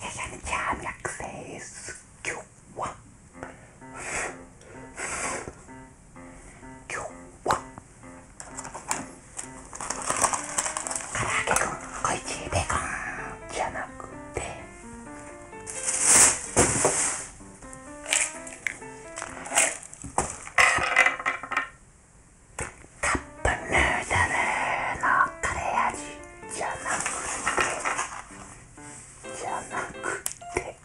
ややみちゃん略せです今日は今日は唐揚げくん小一ベーコンじゃなくてカップヌードルのカレー味じゃなくてじゃなくて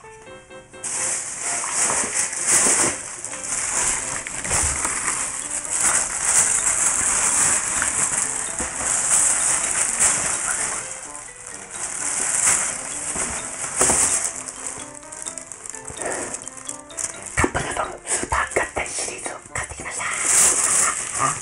カップヌードルスーパー合体シリーズを買ってきました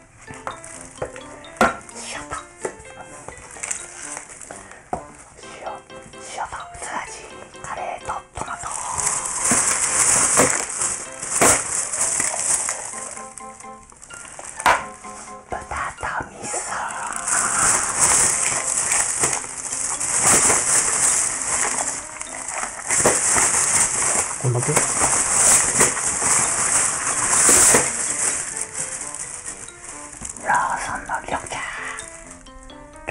塩と塩塩とすだちカレーとトマト豚とみそ豚とみそこんだけローソンの緑茶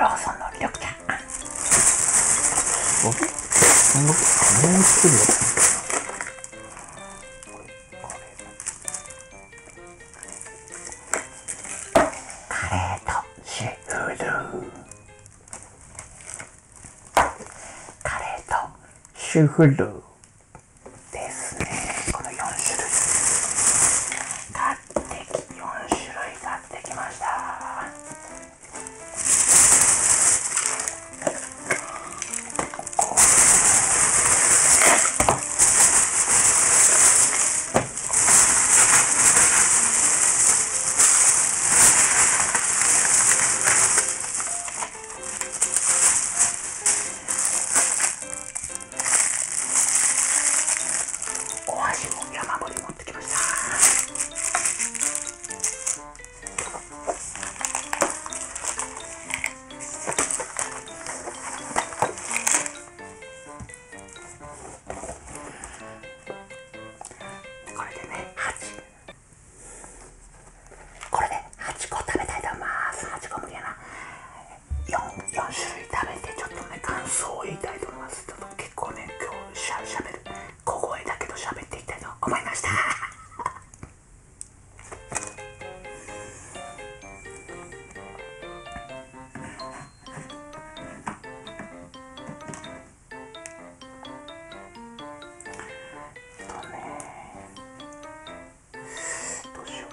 ローソンの緑茶あなとシーフーカレーとシュフルですね。この4種類。買ってき、4種類買ってきました。お味も山盛り持ってきましたこれでね8これで8個食べたいと思います8個無理やな 4, 種類食べてちょっとね感想を言いたいと思いますちょっと結構ね今日しゃしゃべる小声だけど喋っていきたいと思いました だねどうしよう。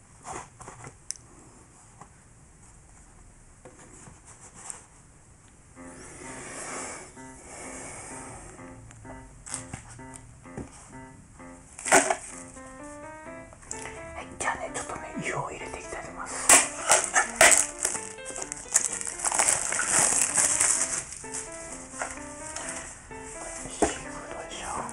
はいじゃあねちょっとね湯を入れていきたいと思いますシーフードでしょ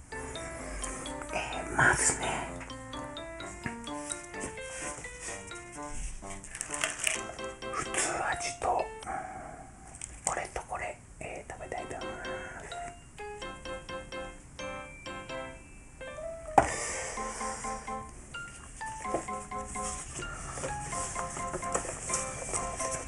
えー、まずね普通味と、うん、これとこれ、えー、食べたいと思います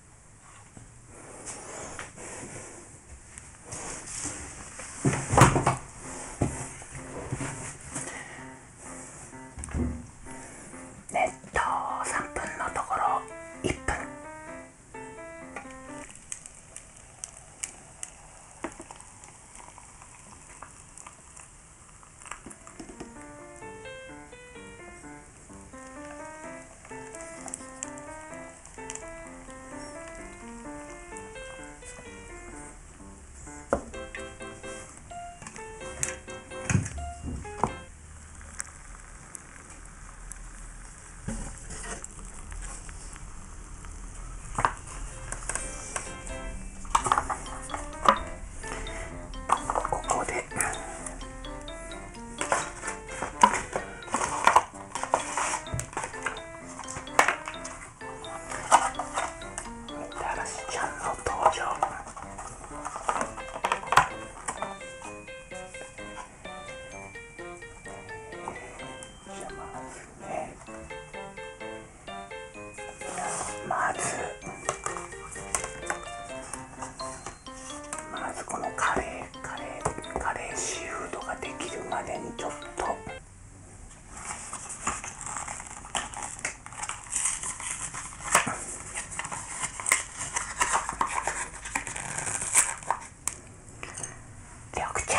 っと、3分のところ1分ここでまずまずこのカレーカレーカレーシーフードができるまでにちょっと緑茶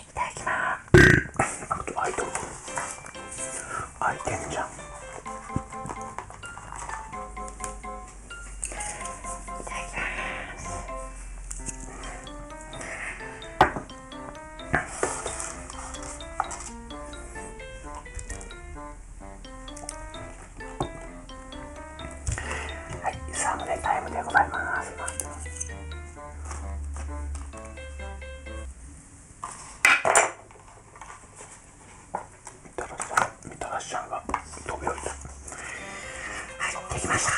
いただきますあと開いとる開いてんじゃんいただきますはいサムネタイムでございますたらしさんみたらしちゃんが飛び降りたはっできました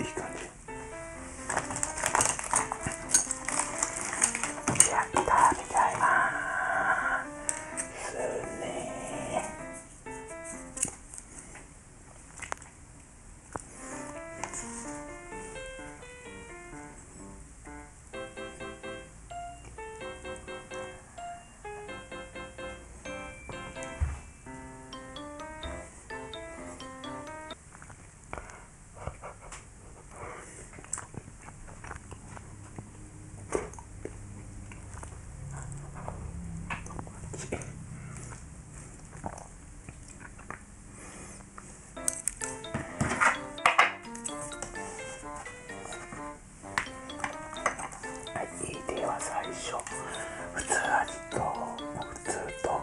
いい感じやったみたいますねははい。最初普通味と普通と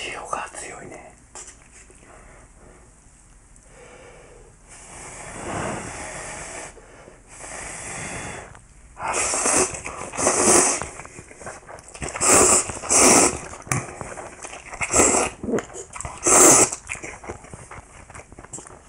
塩が強いね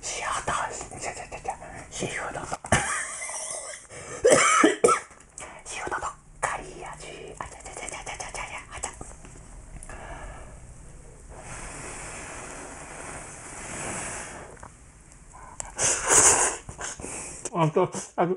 シアター、ちゃちゃちゃちゃ、シーフードと、シーフードと、カリアジー、あちゃちゃちゃちゃちゃちゃちゃ、あちゃ。あと、あの、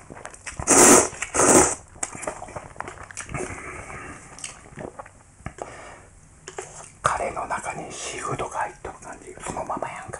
うん、カレーの中にシーフードが入っとる感じがそのままやんか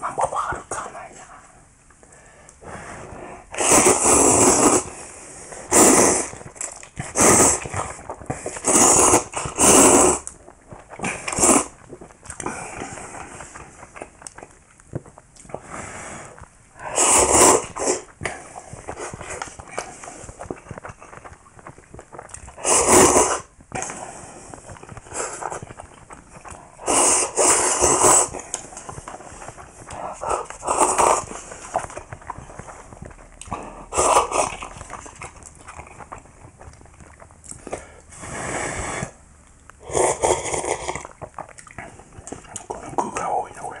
まあ、まだあるかないな。この具が多いなこれ。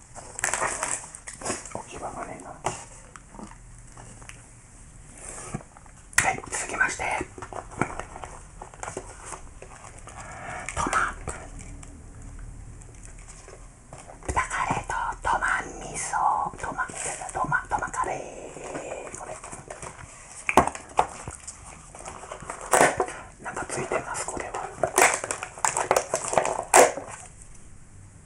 置き場がねえなはい続きましてトマ豚カレーとトマ味噌トマトマトマカレーこれなんかついてます、これは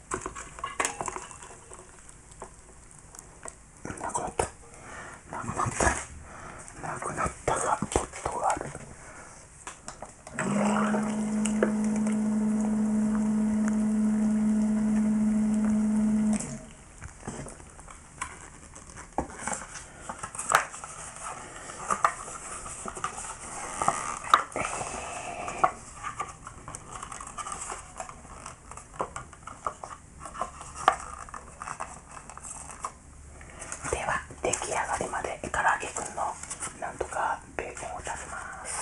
なくなったなくなったなくなったがポットがあるでは出来上がりまで唐揚げくんのなんとかベーコンを足します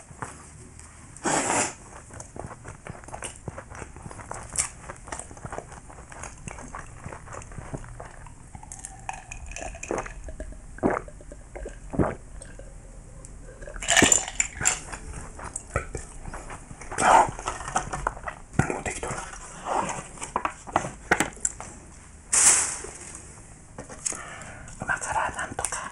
今から何とか。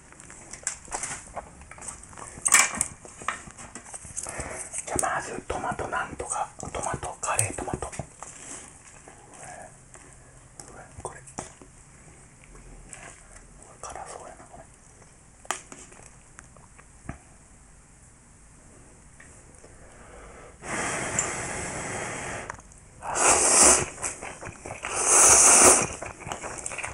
じゃまずトマトなんとかトマトカレートマトこれ辛そうやなこれあ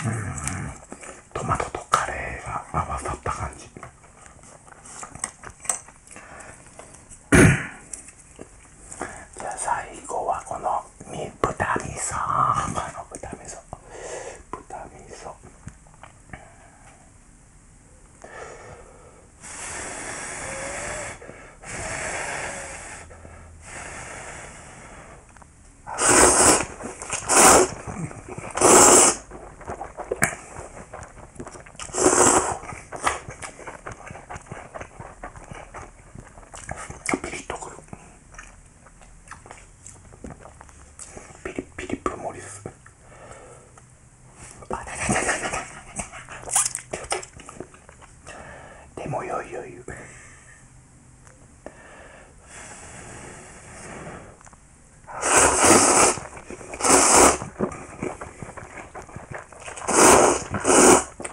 うん。トマトとカレーが合わさった感じじゃあ最後はこの豚味噌この豚味噌豚味噌ピリッとくるピリピリプモリスでもよいよいよ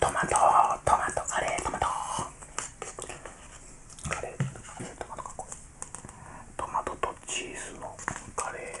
トマトカレートマトカレートマトかっこいトマトとチーズのカレー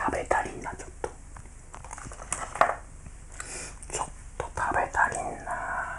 食べたりなちょっとちょっと食べたりな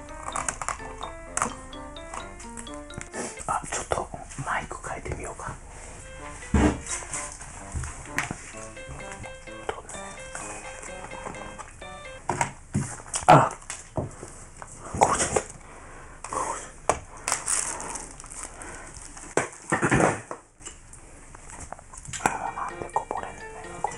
あちょっとマイク変えてみようかあこうちょっち。あ、なんでこぼれんねんこれ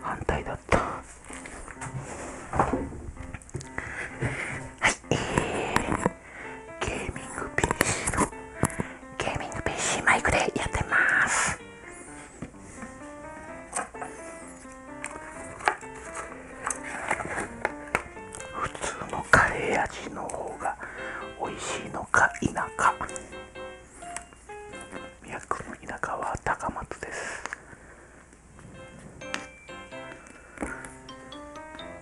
反対だったはい、ゲーミング PC のゲーミング PC マイクでやってます普通のカレー味の方が美味しいのか否か宮城の田舎は高松です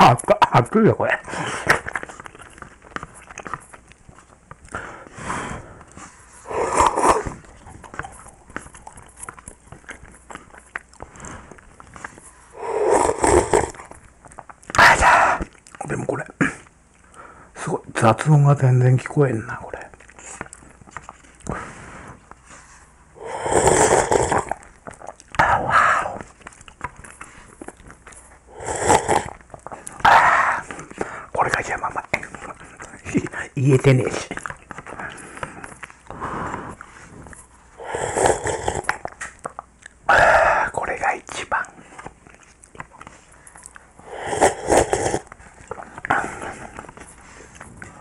あっか、熱いよ、これ。でもこれ、すごい、雑音が全然聞こえんな、これ。ああ。これが山ま 言えてねえし。これが一番。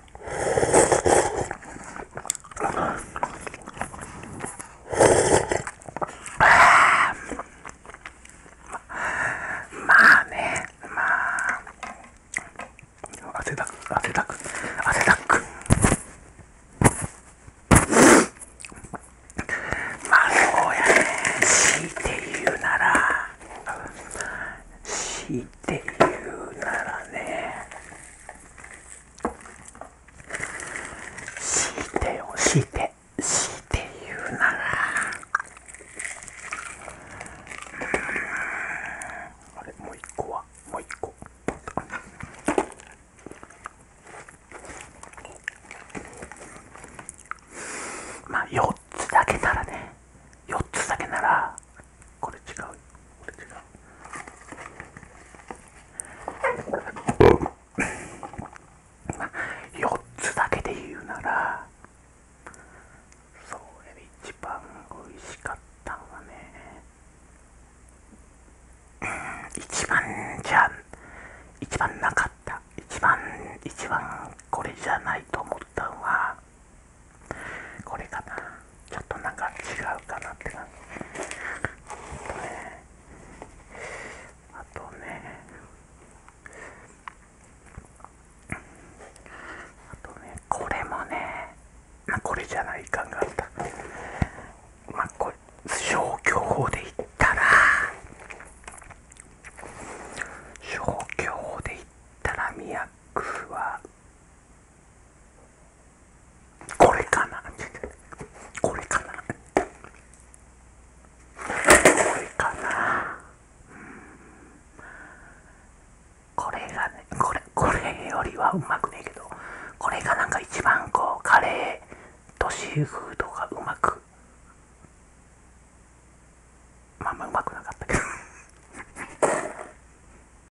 まあね、まあ、汗だく、汗だく、汗だく。まあそうやね、強いて言うなら、強いて言うならね、強いてよ強いて強いて言うならあれもう一個はもう一個まあ4つだけならね4つだけならこれ違うこれ違うま4つだけで言うならそうで一番美味しかったのはね一番じゃん。一番なかった一番一番これじゃないと思ったのはこれかなちょっとなんか違うかなって感じあとねあとねあとねこれもねまあこれじゃない感があっまあこれ消去法でいったら消去法でいったら宮区はこれかなこれかなこれかなこれがねこれこれよりはうまくねえけどこれがなんか一番こうカレーとシーフーがうまくまあまあうまくなかったけど